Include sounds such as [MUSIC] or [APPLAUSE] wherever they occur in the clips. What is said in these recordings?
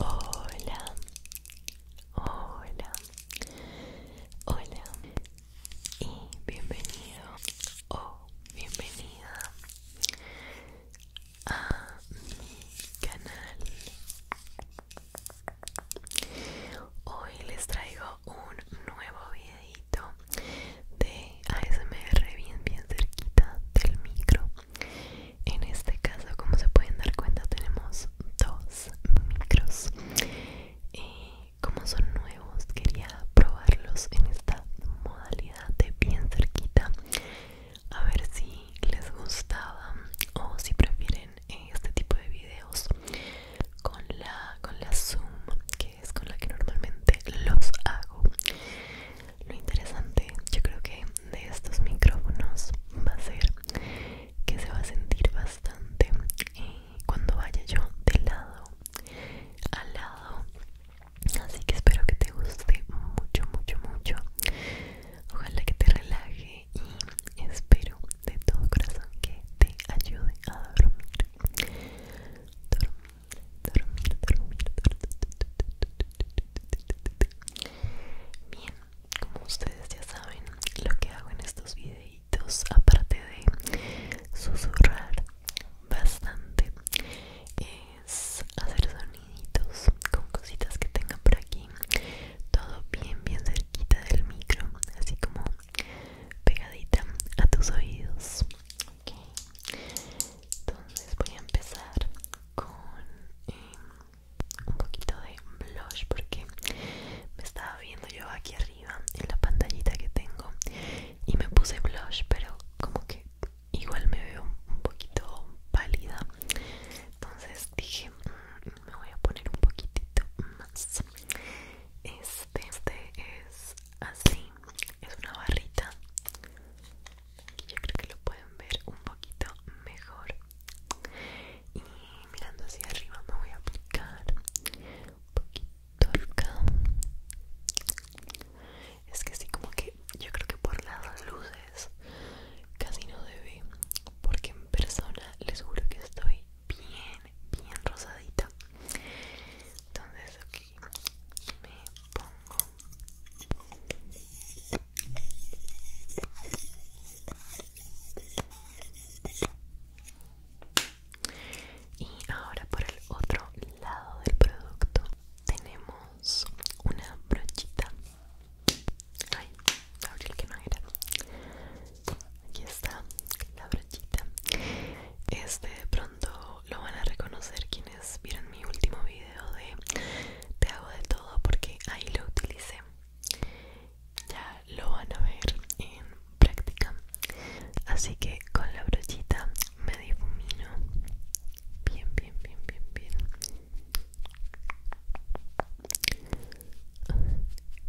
Hola, hola, hola y bienvenido o bienvenida a mi canal. Hoy les traigo un nuevo video de ASMR bien bien cerquita del micro en este caso como se pueden dar cuenta tenemos dos micros como son nuevos quería probarlos en esta modalidad de bien cerquita a ver si les gustaba o si prefieren este tipo de videos con la con la zoom que es con la que normalmente los hago. Lo interesante, yo creo que de estos micrófonos va a ser que se va a sentir bastante eh, cuando vaya yo de lado a lado. Así que espero que te guste mucho, mucho, mucho. Ojalá que te relaje y espero de todo corazón que te ayude a dormir. Dormir, dormir, dormir, dormir. Bien, como ustedes ya saben, lo que hago en estos videitos, aparte de susurrar bastante, es hacer soniditos con cositas que tenga por aquí, todo bien, bien cerquita del micro, así como pegadita a tus oídos Ok, entonces voy a empezar con em, un poquito de blush porque me estaba viendo yo aquí arriba en la pantallita que tengo y me puse blush pero como que igual me veo un poquito pálida entonces dije mm, me voy a poner un poquitito más este, este es así es una barrita que yo creo que lo pueden ver un poquito mejor y mirando hacia arriba me voy a aplicar un poquito acá es que así como que yo creo que por las luces casi no se ve porque en persona les juro que estoy bien bien rosadita entonces ok y me pongo y ahora por el otro lado del producto tenemos una brochita ay abrí el que no era aquí está la brochita este pronto lo, van a reconocer quienes vieron mi último video de Te hago de todo porque ahí lo utilicé. Ya lo van a ver en práctica. Así que con la brochita me difumino. Bien, bien, bien, bien, bien.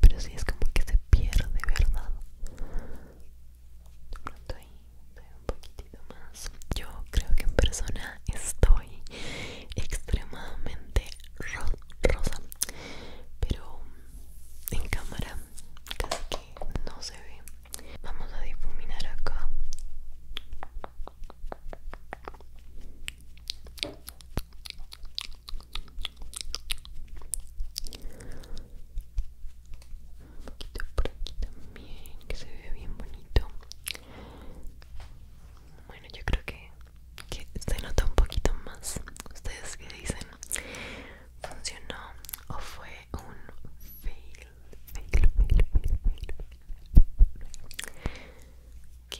Pero si es como que se pierde, ¿verdad? de pronto ahí un poquitito más yo creo que en persona estoy extremadamente rosa pero en cámara casi que no se ve vamos a difuminar acá un poquito por aquí también que se ve bien bonito bueno yo creo que, se nota un poquito más ustedes que dicen funcionó o fue un fail fail ok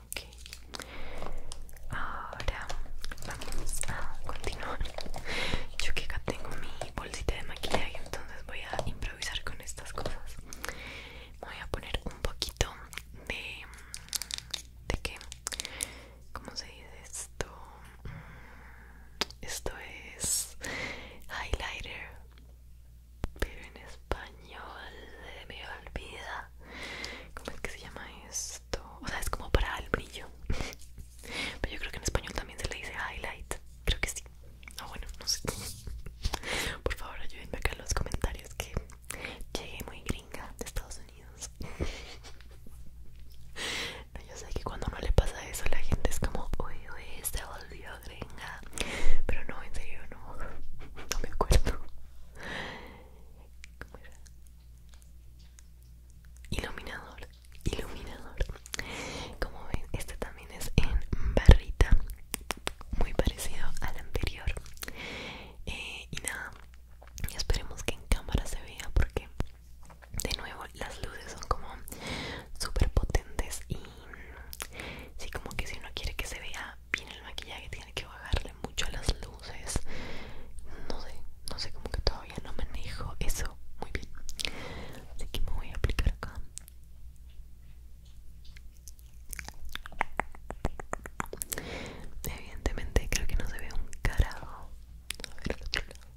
Ok, ahora vamos a continuar. [LAUGHS] Yo que acá tengo mi bolsita de maquillaje, entonces voy a improvisar con estas cosas. Voy a poner un poquito de. ¿De qué? ¿Cómo se dice esto? Esto es highlighter, pero en español se me olvida ¿cómo es que se llama esto? o sea es como para el brillo [LAUGHS] pero yo creo que en español también se le dice highlight creo que sí Ah, bueno no sé [LAUGHS] por favor ayúdenme acá en los comentarios que llegué muy gringa de Estados Unidos [LAUGHS] yo sé que cuando no le pasa eso la gente es como uy uy se volvió gringa pero no en serio no no me acuerdo Iluminador, iluminador. Como ven, este también es en barrita, muy parecido al anterior. Eh, y nada, esperemos que en cámara se vea porque de nuevo las luces son como súper potentes y sí como que si uno quiere que se vea viene el maquillaje, tiene que bajarle mucho a las luces. No sé, no sé como que todavía no manejo eso muy bien. Así que me voy a aplicar acá. Evidentemente creo que no se ve un carajo. A ver otro lado.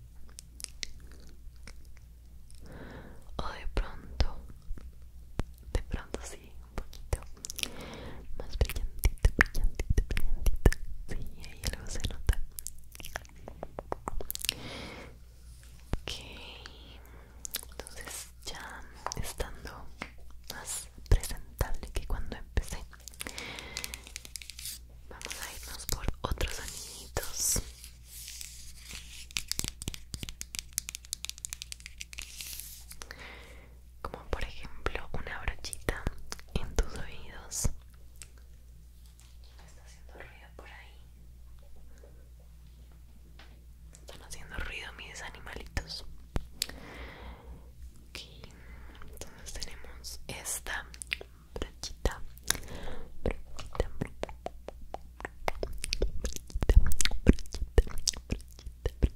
O de pronto, de pronto sí, un poquito más brillantito, brillantito, brillantito. Sí, ahí algo se nota. Ok, entonces ya estando más presentable que cuando empecé, vamos a irnos por otros Ok como por ejemplo una brochita en tus oídos. Me está haciendo ruido por ahí. Están haciendo ruido mis animalitos. Ok, entonces tenemos esta brochita, brochita, brochita, brochita, brochita,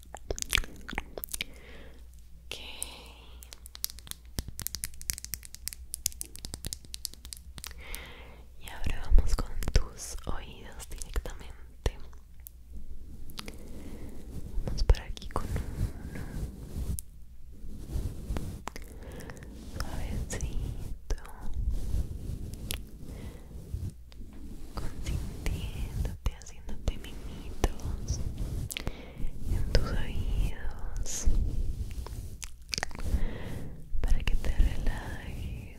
Ok. Y ahora vamos con tus oídos directamente. Vamos por aquí con uno. Suavecito. Consintiendo Haciéndote, haciendo mimitos en tus oídos para que te relajes.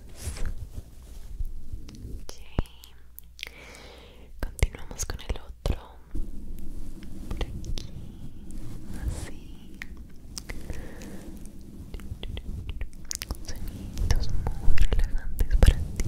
Continuamos con el otro. Por aquí, así. Sonidos muy relajantes para ti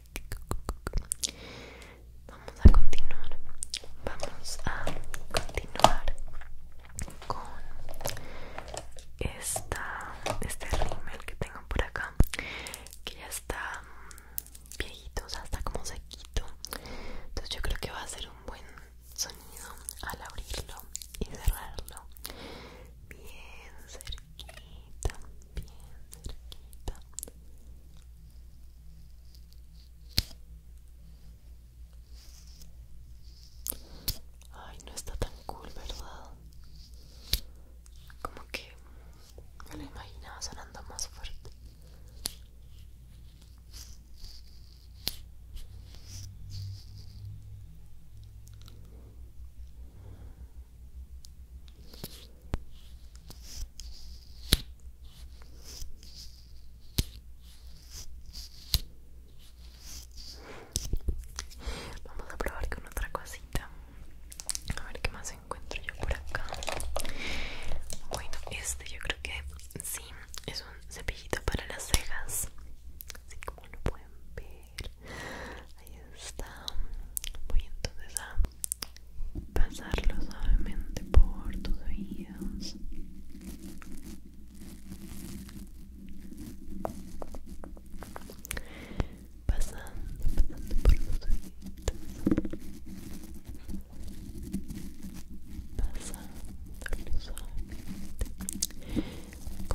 Vamos a continuar. Vamos a continuar con esta, este rímel que tengo por acá. Que ya está mm, viejito, o sea, está como sequito. Entonces yo creo que va a ser un buen sonido al abrirlo y cerrarlo. Bien cerquito bien cerquita Ay, no está tan cool, ¿verdad? Como que me lo imaginaba sonando más fuerte. Vamos a probar con otra cosita. A ver qué más encuentro yo por acá. Bueno, este yo creo que sí, es un cepillito para las cejas. Así como lo pueden ver ahí está voy entonces a pasarlo suavemente por tus oídos pasando, pasando por tus oídos Pasando suavemente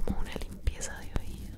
como una limpieza de oídos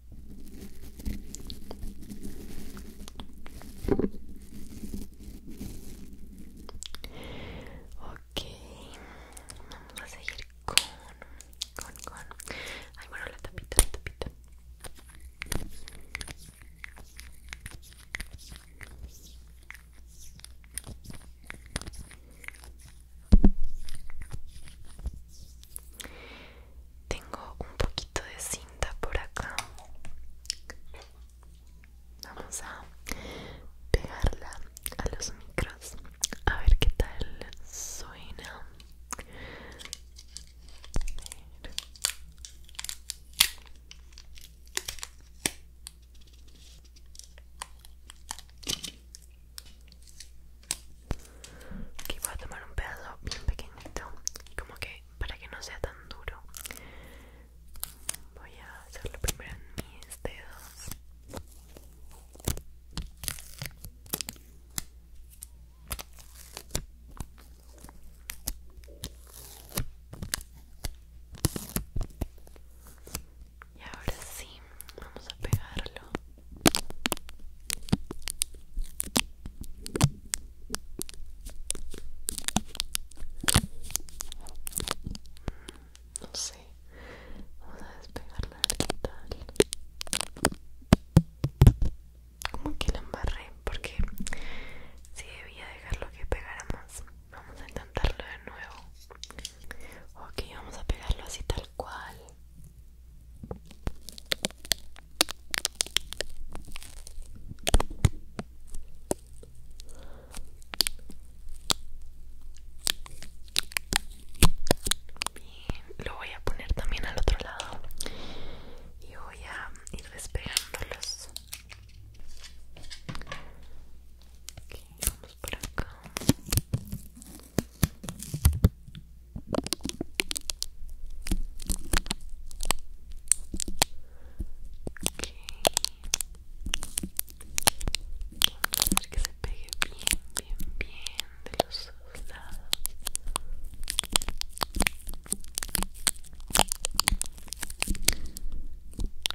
Ok, vamos a seguir con, con, con. Ay, bueno, la tapita, la tapita. Tengo un poquito de cinta por acá. Vamos a pegarla a los micros. A ver qué tal suena. Aquí voy a tomar un pedazo bien pequeñito, como que para que no sea tan duro. Voy a hacerlo primero en mis dedos. Y ahora sí, vamos a pegarlo no sé vamos a despegarla tal como que la embarré porque si debía dejarlo que pegara más vamos a intentarlo de nuevo ok vamos a pegarlo así tal cual lo voy a poner también al otro lado y voy a ir despegándolos. por acá. Vamos que se pegue bien, bien, bien de los dos lados.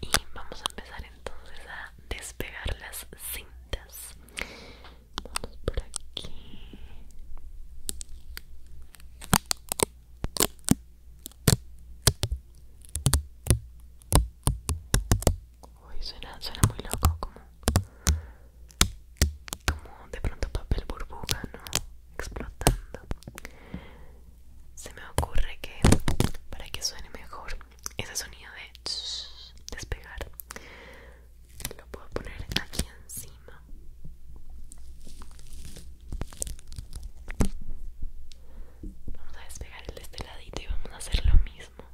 Y vamos a empezar entonces a despegar las cintas. Vamos por aquí. Uy, suena, muy loco, como, como de pronto papel burbuja, ¿no? Explotando. Se me ocurre que para que suene mejor ese sonido de despegar lo puedo poner aquí encima vamos a despegar el de este ladito y vamos a hacer lo mismo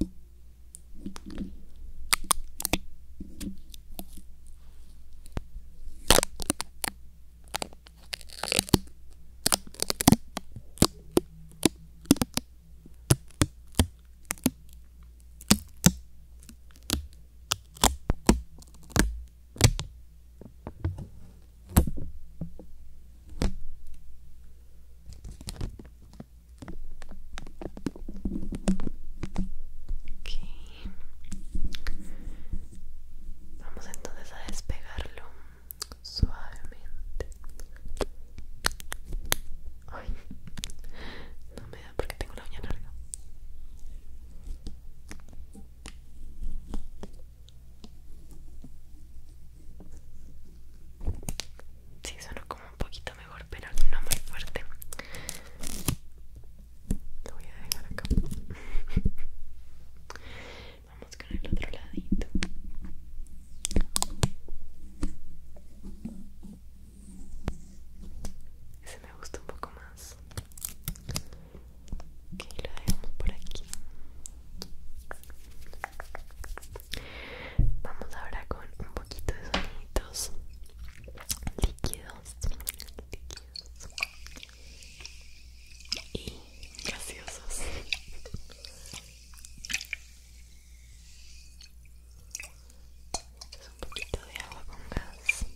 Vamos entonces a despegarlo Suavemente. Ay, no me da porque tengo la uña larga. Sí, suena como un poquito mejor, pero no muy fuerte. Lo voy a dejar acá. [LAUGHS] Vamos con el otro ladito. Ese me gusta un poco más. Ok, lo dejamos por aquí. Vamos ahora con un poquito de sonidos líquidos, y graciosos un poquito de agua con gas.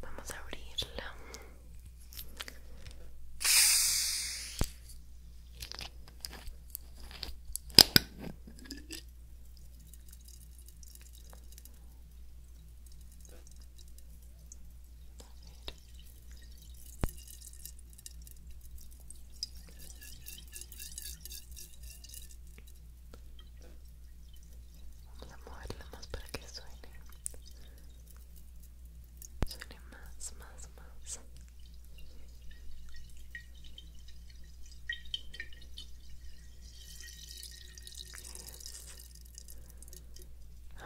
Vamos a abrirla. Vamos a moverla más para que suene. Suene más, más, más.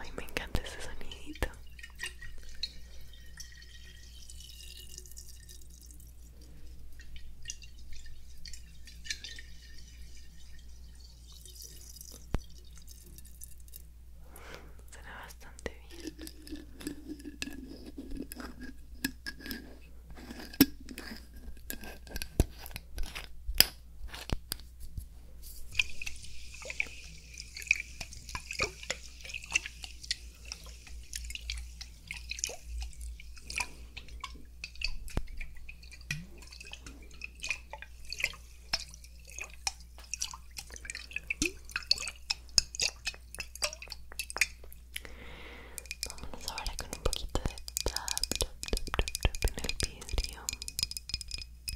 Ay, me encanta ese sonidito. Suena bastante bien. Vámonos ahora con un poquito de tap, tap, tap, tap en el vidrio Relate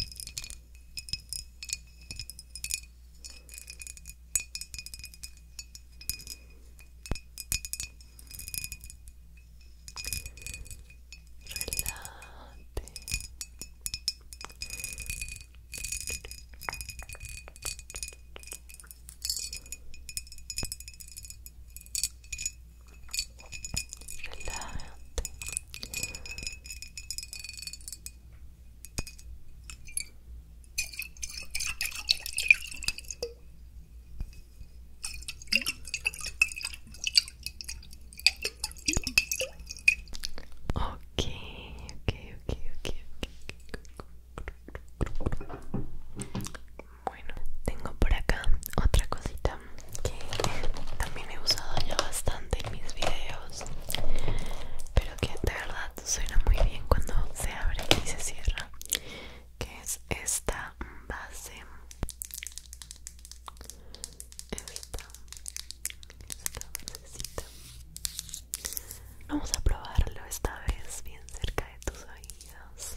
relájate Okay, okay, okay, okay, okay. Bueno, tengo por acá otra cosita que también he usado ya bastante en mis videos pero que de verdad suena muy bien cuando se abre y se cierra que es esta base vamos a probarlo esta vez bien cerca de tus oídos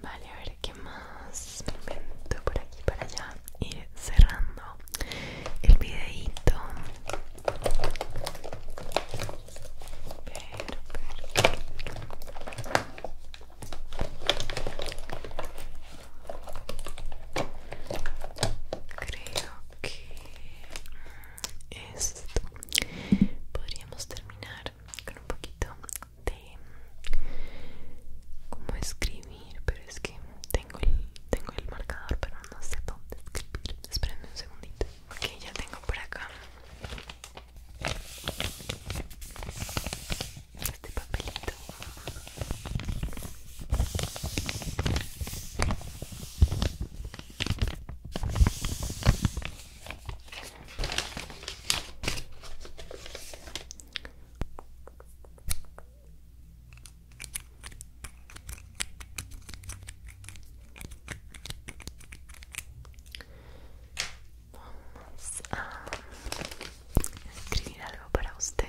Vale, a ver qué más me invento por aquí para allá. y cerrando el videito creo que esto podríamos terminar con un poquito de como escribir pero es que tengo el, tengo el marcador, pero no sé dónde escribir. Espérenme un segundito. Ok, ya tengo por acá este papelito. Vamos a escribir algo para ustedes.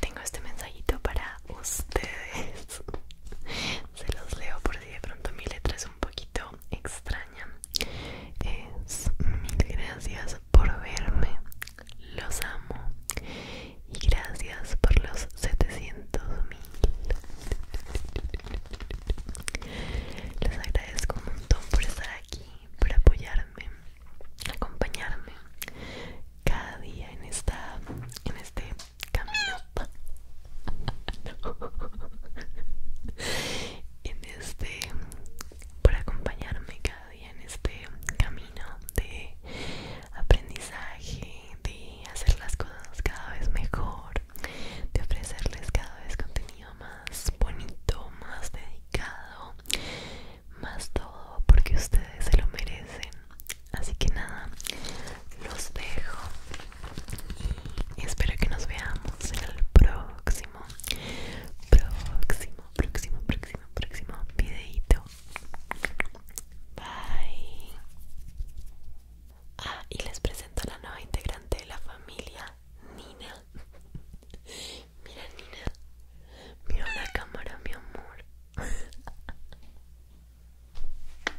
Tengo este mensajito para ustedes se los leo por si de pronto mi letra es un poquito extraña es mil gracias por verme los amo y gracias por los 700 mil les agradezco un montón por estar aquí por apoyarme acompañarme cada día en esta en este camino [LAUGHS] en este por acompañarme cada día en este camino de aprendizaje de hacer las cosas cada vez mejor de ofrecerles cada vez contenido más bonito más dedicado más todo porque ustedes se lo merecen así que nada los dejo y espero que nos veamos en el próximo, próximo, próximo, próximo, próximo videito. Bye. Ah, y les presento a la nueva integrante de la familia, Nina. Mira, Nina. Mira la cámara, mi amor. [LAUGHS]